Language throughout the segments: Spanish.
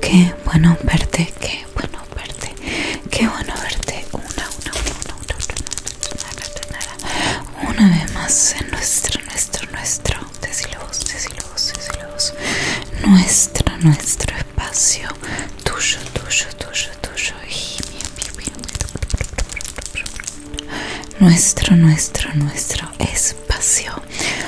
Qué bueno verte, qué bueno verte, qué bueno verte. Una, una, una, una, una, una, una, una, una vez más en nuestro, nuestro, nuestro, decilo vos, decilo vos, decilo vos. Nuestro, nuestro espacio, tuyo, tuyo, tuyo, tuyo. nuestro, nuestro, nuestro espacio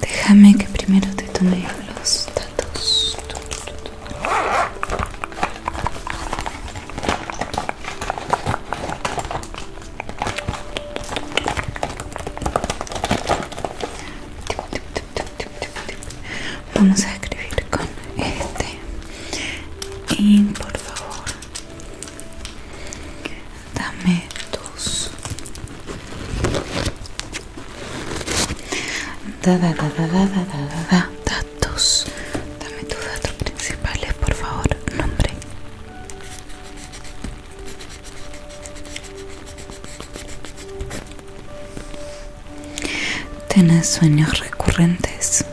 Déjame que primero te tome los datos. Vamos a escribir con este y por favor dame tus Da, da, da, da, da, da, da, da. Datos. Dame tus datos principales, por favor. Nombre. ¿Tienes sueños recurrentes?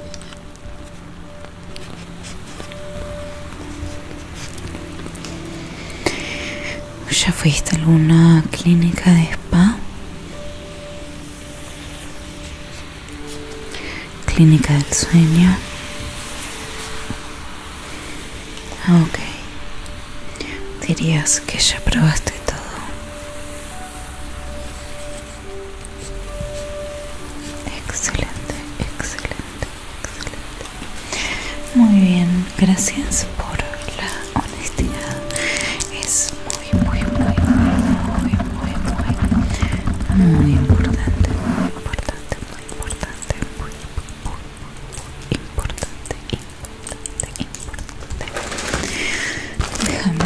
¿Ya fuiste a alguna clínica de spa? Clínica del sueño. Ah, ok. Dirías que ya probaste todo. Excelente, excelente, excelente. Muy bien, gracias por la honestidad es muy muy muy muy muy muy muy importante muy importante muy importante muy muy importante importante importante déjame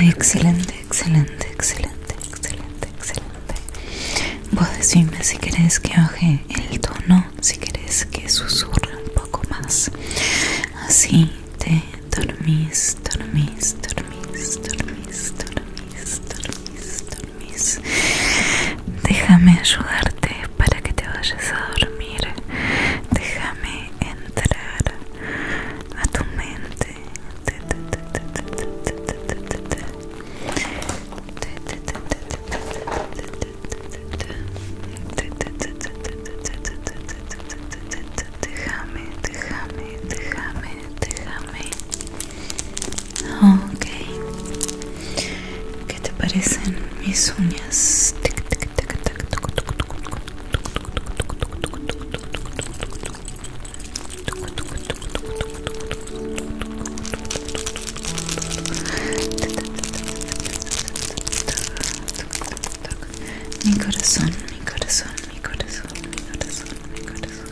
Excelente, excelente, excelente, excelente, excelente. Vos decime si querés que baje el tono si querés que susurre un poco más así te dormís dormís dormís dormís dormís dormís dormís déjame ayudarte para que te vayas a dormir déjame entrar a tu mente Dychamy, dychamy, dychamy, dychamy. Ok. ¿Qué te parecen Mi corazón, mi corazón, mi corazón, mi corazón, mi corazón, mi corazón.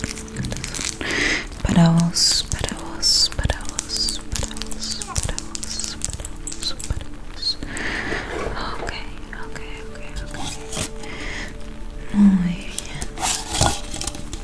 Para vos, para vos, para vos, para vos, para vos, para vos, para vos. Ok, ok, ok, ok. Muy bien.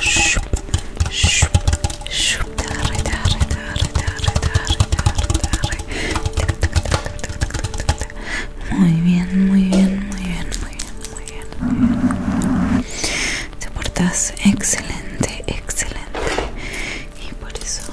shup Muy bien, muy bien, muy bien, muy bien, muy bien. Te portas excelente, excelente. Y por eso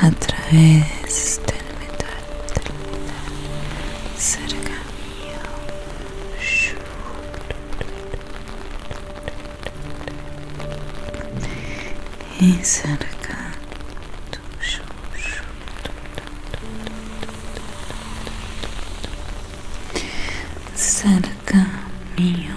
através del metal cerca mío encercando cerca mío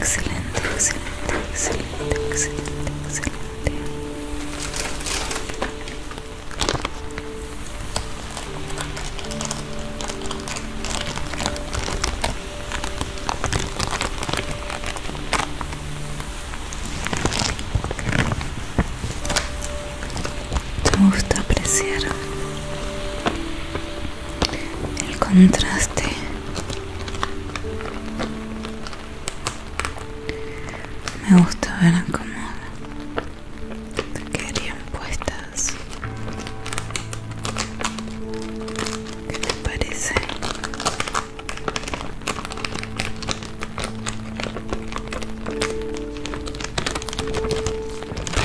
Excelente, excelente, excelente, excelente, excelente. Te gusta apreciar el contraste me gusta ver cómo quedarían puestas que te parece?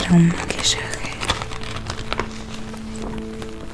para un maquillaje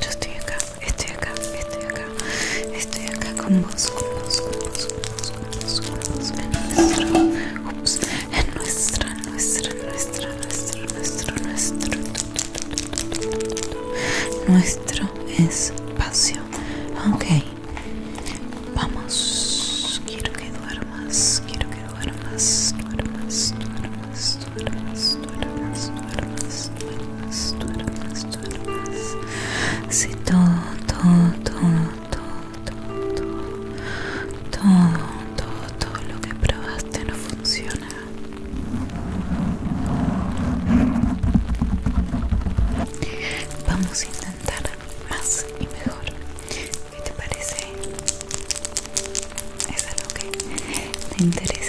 Yo estoy acá, estoy acá, estoy acá, estoy acá con vos, con vos, con vos, con vos, con vos, en nuestro, en nuestra, nuestra, nuestra, nuestro, nuestro, nuestro espacio. Ok, vamos, quiero que duermas, quiero que duermas, duermas, duermas duermas, duermas, duermas, duermas, duermas, duermas, Si todo, todo, todo, todo, todo, todo, todo, todo todo, lo que probaste no funciona. Vamos a intentar más y mejor. ¿Qué te parece? Es algo que te interesa.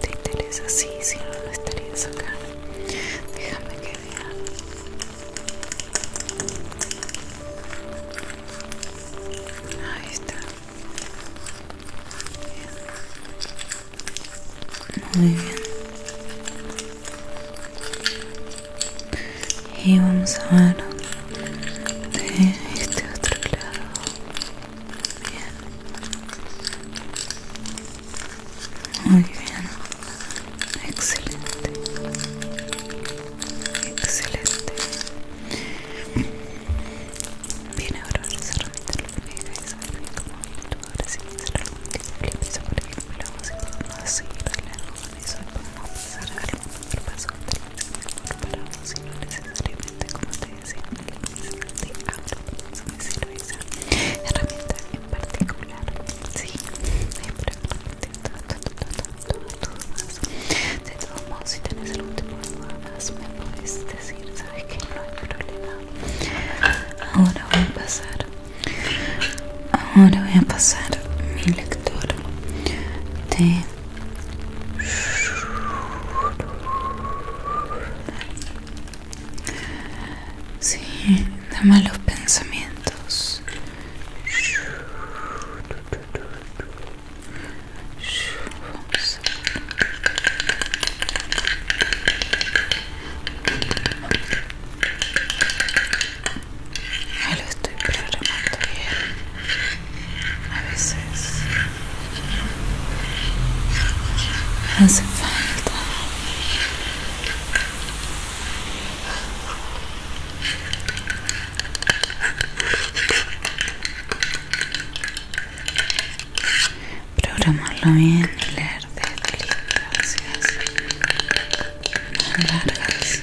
¿Te interesa? Sí, sí, no estaría sacando. Déjame que vea. Ahí está. Muy bien. Y vamos a ver de este otro lado bien muy bien excelente excelente bien ahora vamos a remitir la manera y saber bien cómo tú ahora si quieres hacer algún tipo de piso por ejemplo si podemos seguir hablando con eso y podemos pasar al otro paso del examen pero y no necesariamente como te decía en el inicio de ahora vamos me sirve esa herramienta en particular sí pero de todos modos si tienes algún tipo de duda más me puedes decir sabes que no hay problema ahora voy a pasar ahora voy a pasar mi lector de Sí, da malos pensamientos. No lo estoy programando bien a veces hace falta programarlo bien y leer de películas largas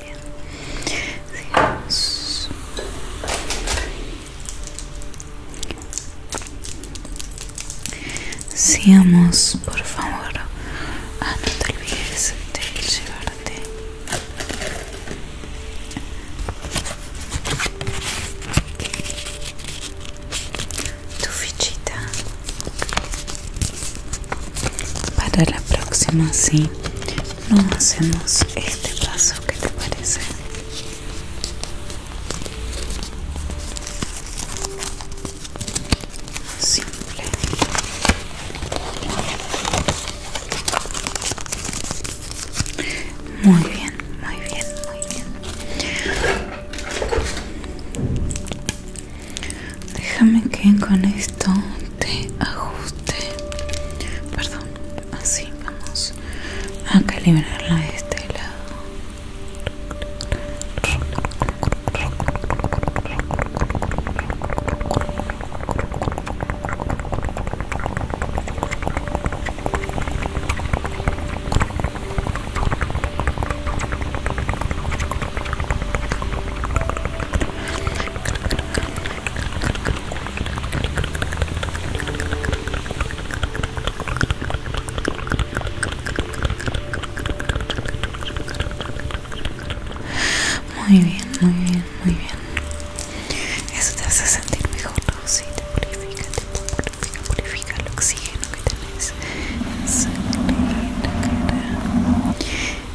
bien. Sigamos. por favor. Ah, no te olvides de llevarte. Tu fichita para la próxima, sí no hacemos este paso que te parece simple muy bien muy bien muy bien déjame que con esto ajuste perdón así vamos a calibrarla de este lado muy bien, muy bien, muy bien. Eso te hace sentir mejor, ¿no? Sí, te purifica, te purifica, purifica el oxígeno que tenés. en la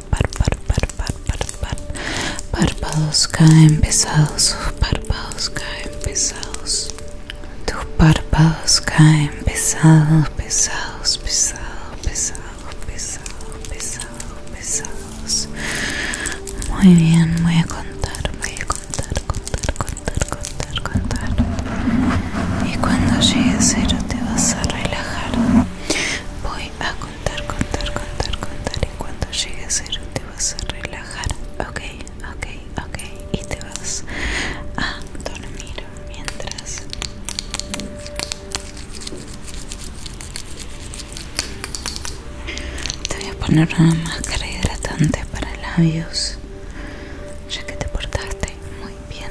par, par, par, par, par, par, par. Párpados caen pesados, párpados caen pesados. Tus párpados caen pesados, pesados, pesados, pesados, pesados, pesados, pesados. Muy bien, voy a contar, voy a contar, contar, contar, contar, contar. Y cuando llegue a cero te vas a relajar. Voy a contar, contar, contar, contar y cuando llegue a cero te vas a relajar, ok, ok, ok y te vas a dormir mientras te voy a poner una máscara hidratante para labios ya que te portaste muy bien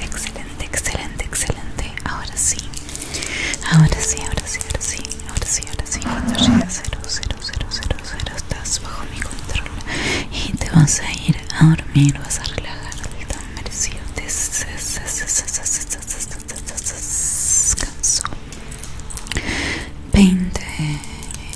Excelente, excelente, excelente. Ahora sí. Ahora sí, ahora sí, ahora sí. Ahora sí, ahora sí. Cuando llegue a estás bajo mi control. Y te vas a ir a dormir, vas a relajar merecido. Descanso. 20.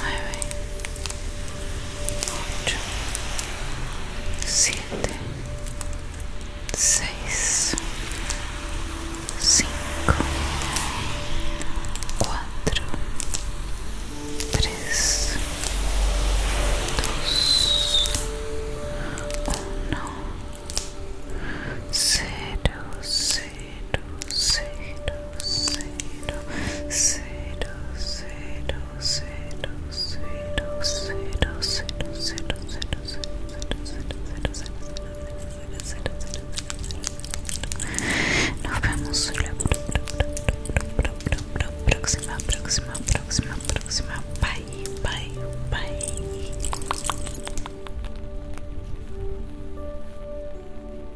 nueve, ocho, siete, seis, cinco, cuatro, tres, dos, uno, cero, Nos vemos la próxima, próxima, próxima, próxima. Bye, bye, bye.